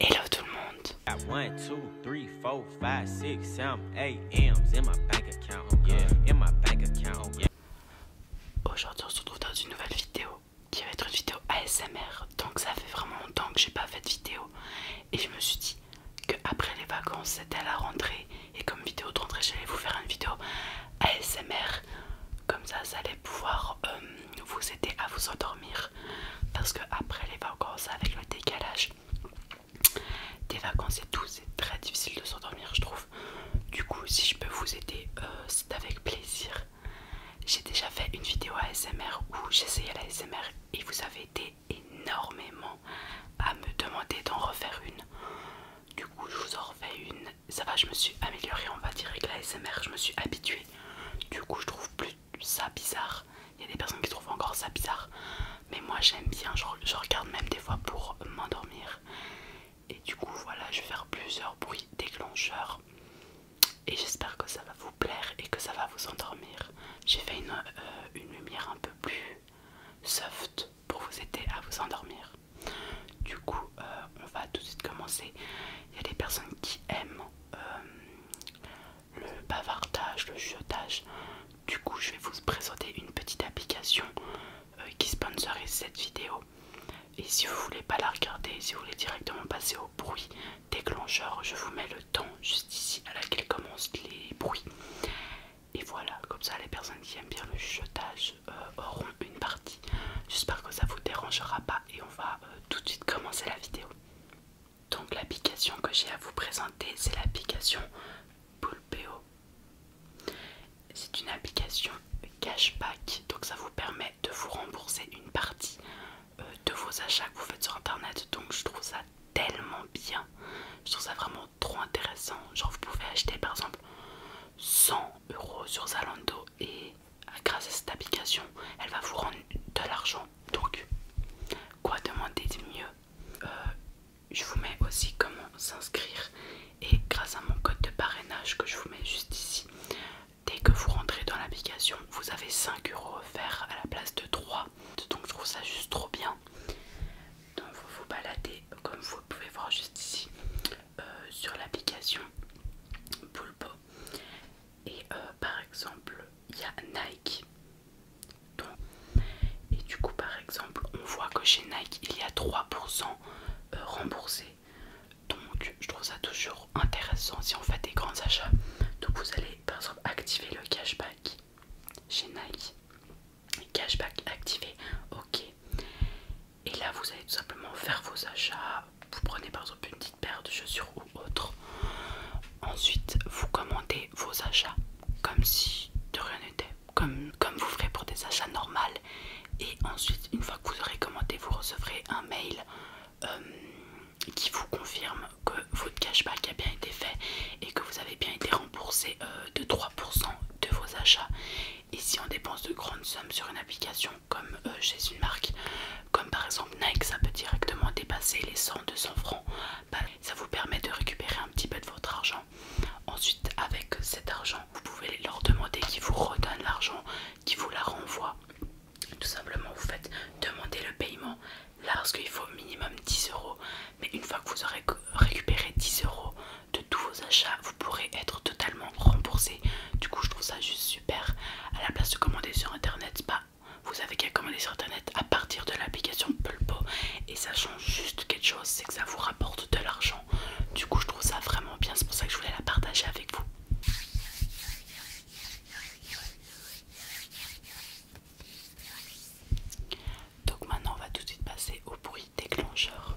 Hello tout le monde. Aujourd'hui, on se retrouve dans une nouvelle vidéo qui va être une vidéo ASMR. Donc ça fait vraiment longtemps que j'ai pas fait de vidéo et je me suis dit que après les vacances, c'était à la rentrée et comme vidéo de rentrée, j'allais vous faire une vidéo ASMR. Comme ça, ça allait pouvoir euh, vous aider à vous endormir parce que après les vacances avec le décalage des vacances et tout c'est très difficile de s'endormir je trouve du coup si je peux vous aider euh, c'est avec plaisir j'ai déjà fait une vidéo ASMR où j'essayais la ASMR et vous avez été énormément à me demander d'en refaire une du coup je vous en refais une ça va je me suis améliorée on va dire avec la ASMR je me suis habituée du coup je trouve plus ça bizarre. Il y a des personnes qui trouvent encore ça bizarre. Mais moi j'aime bien, je, regarde même des fois pour m'endormir. Et du coup voilà, je vais faire plusieurs bruits déclencheurs. Et j'espère que ça va vous plaire et que ça va vous endormir. J'ai fait une, euh, lumière un peu plus soft pour vous aider à vous endormir. Du coup, euh, on va tout de suite commencer. Il y a des personnes qui aiment euh, le bavardage, le jetage. Du coup, je vais vous présenter une petite application euh, qui sponsorise cette vidéo. Et si vous voulez pas la regarder, si vous voulez directement passer au bruit déclencheur, je vous mets le temps juste ici à laquelle commencent les bruits. Et voilà, comme ça les personnes qui aiment bien le chuchotage euh, auront une partie. J'espère que ça vous dérangera pas et on va tout de suite commencer la vidéo. Donc l'application que j'ai à vous présenter, c'est l'application Pulpeo. C'est une application cashback, donc ça vous permet de vous rembourser une partie euh, de vos achats que vous faites sur internet. Donc je trouve ça tellement bien, je trouve ça vraiment trop intéressant. Genre vous pouvez acheter par exemple 100 euros sur Zalando et ah, grâce à cette application, elle va vous rendre de l'argent. Donc, quoi demander de mieux euh, Je vous mets aussi comment s'inscrire et grâce à mon code de parrainage que je vous mets juste ici, dès que vous rentrez dans l'application, vous avez 5 euros offerts à la place de 3. Donc, je trouve ça juste trop bien. Donc, vous vous baladez comme vous pouvez voir juste ici euh, sur l'application Pulpo et euh, par exemple, il y a Nike. et du coup, par exemple, on voit que chez Nike, il y a 3% euh, remboursé Donc, je trouve ça toujours intéressant si on fait des grands achats. Donc, vous allez par exemple activer le cashback chez Nike. Cashback activé, ok. Et là, vous allez tout simplement faire vos achats, vous prenez par exemple une petite paire de chaussures ou autre. Ensuite, vous commandez vos achats comme si de rien n'était, comme, vous ferez pour des achats normaux. Et ensuite, une fois que vous aurez commandé, vous recevrez un mail euh, qui vous confirme que votre cashback a bien été fait et que vous avez bien été remboursé euh, de 3% de vos achats. Et si on dépense de grandes sommes sur une application, comme euh, chez une marque comme par exemple Nike ça peut directement dépasser les 100-200 francs bah, ça vous permet de récupérer un petit peu de votre argent ensuite avec cet argent vous pouvez leur demander qu'ils vous redonnent l'argent qu'ils vous la renvoient tout simplement vous faites demander le paiement là parce qu'il faut au minimum 10 euros mais une fois que vous aurez récupéré 10 euros de tous vos achats vous pourrez être totalement remboursé du coup, je trouve ça juste super. À la place de commander sur internet, bah, vous avez qu'à commander sur internet à partir de l'application Pulpo. Et ça change juste quelque chose, c'est que ça vous rapporte de l'argent. Du coup, je trouve ça vraiment bien. C'est pour ça que je voulais la partager avec vous. Donc maintenant on va tout de suite passer au bruit déclencheur.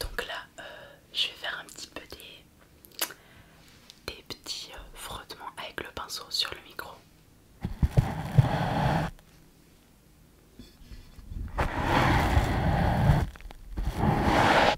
Donc là, euh, je vais faire un petit peu des, des petits euh, frottements avec le pinceau sur le micro.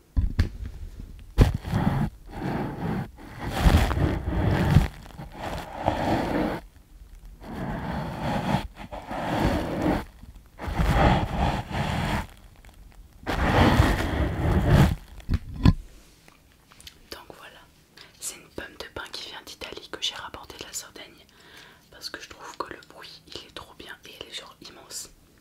Donc voilà, c'est une pomme de pain qui vient d'Italie que j'ai rapportée de la Sardaigne parce que je trouve que le bruit il est trop bien et il est genre immense.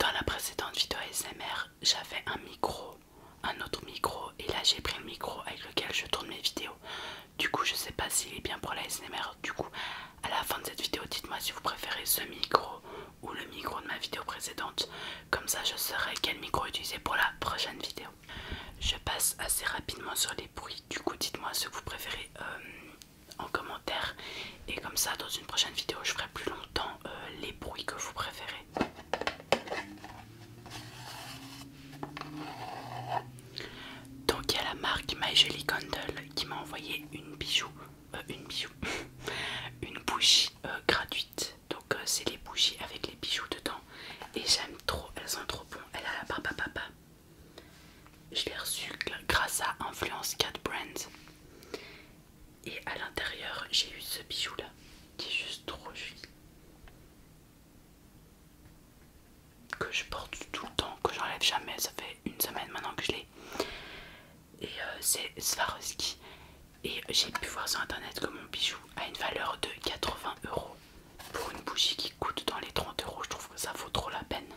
Dans la précédente vidéo ASMR, j'avais un micro, un autre micro, et là j'ai pris le micro avec lequel je tourne mes vidéos. Du coup, je sais pas s'il est bien pour la ASMR. Du coup, à la fin de cette vidéo, dites-moi si vous préférez ce micro ou le micro de ma vidéo précédente. Comme ça, je saurai quel micro utiliser pour la prochaine vidéo. Je passe assez rapidement sur les bruits. Du coup, dites-moi que vous préférez euh, en commentaire et comme ça dans une prochaine vidéo je ferai plus longtemps euh, les bruits que vous préférez donc il y a la marque My Jelly qui m'a envoyé une bijou euh, une bijou une bougie euh, gratuite donc c'est les bougies avec les bijoux dedans et j'aime trop elles sont trop bon elle a la papa papa je l'ai reçu grâce à Influence Cat Brands. Et à l'intérieur, j'ai eu ce bijou là qui est juste trop joli. Que je porte tout le temps, que j'enlève jamais. Ça fait une semaine maintenant que je l'ai. Et euh, c'est Swarovski. Et j'ai pu voir sur internet que mon bijou a une valeur de 80 euros pour une bougie qui coûte dans les 30 euros. Je trouve que ça vaut trop la peine.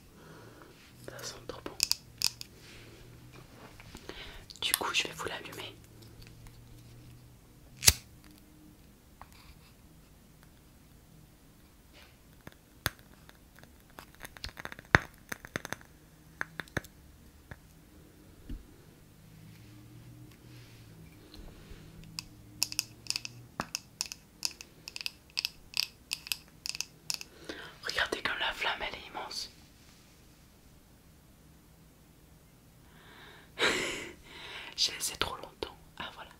Ça sent trop bon. Du coup, je vais vous l'allumer. Regardez comme la flamme elle est immense. J'ai laissé trop longtemps. Ah voilà.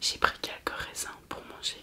J'ai pris quelques raisins pour manger.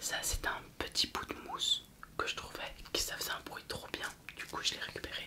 Ça c'est un petit bout de mousse que je trouvais qui ça faisait un bruit trop bien. Du coup je l'ai récupéré.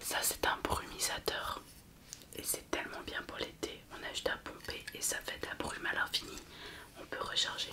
Ça c'est un brumisateur et c'est tellement bien pour l'été. On a juste à pomper et ça fait de la brume à l'infini. On peut recharger.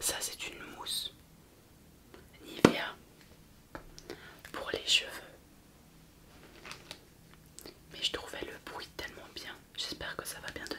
Ça c'est une mousse Nivea pour les cheveux. Mais je trouvais le bruit tellement bien. J'espère que ça va bien donner.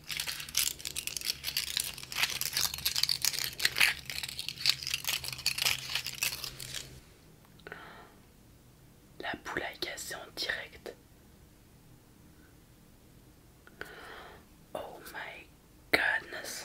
La boule a cassé en direct. Oh my goodness.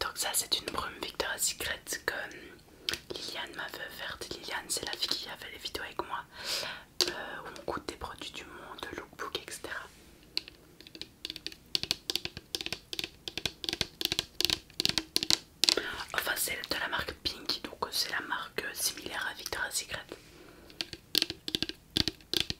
Donc ça c'est une brume Victoria's Secret que Liliane m'a fait offerte. Liliane c'est la fille qui a fait les vidéos avec moi euh, où on goûte des produits du monde, lookbook etc. Enfin c'est de la marque Pink donc c'est la marque similaire à Victoria's Secret.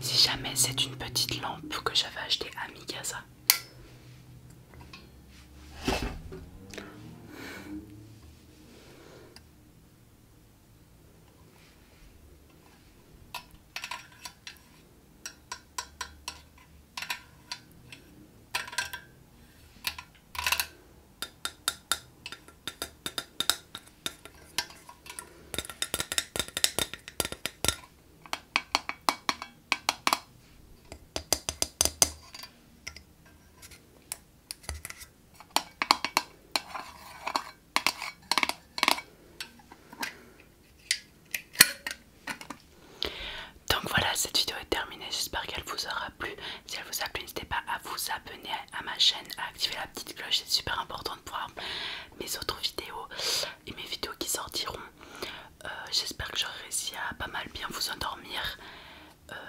Si jamais c'est une petite lampe que j'avais acheté à Mikasa. Donc voilà, cette vidéo est terminée. J'espère qu'elle vous aura plu. Si elle vous a plu, n'hésitez pas à vous abonner à ma chaîne, à activer la petite cloche. C'est super important de pouvoir mes autres vidéos et mes vidéos qui sortiront. Euh, j'espère que j'aurai réussi à pas mal bien vous endormir.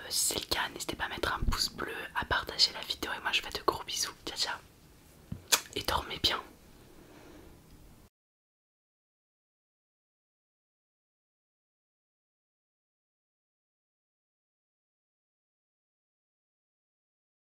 si euh, c'est le cas, n'hésitez pas à mettre un pouce bleu, à partager la vidéo et moi je fais de gros bisous. Ciao ciao et dormez bien.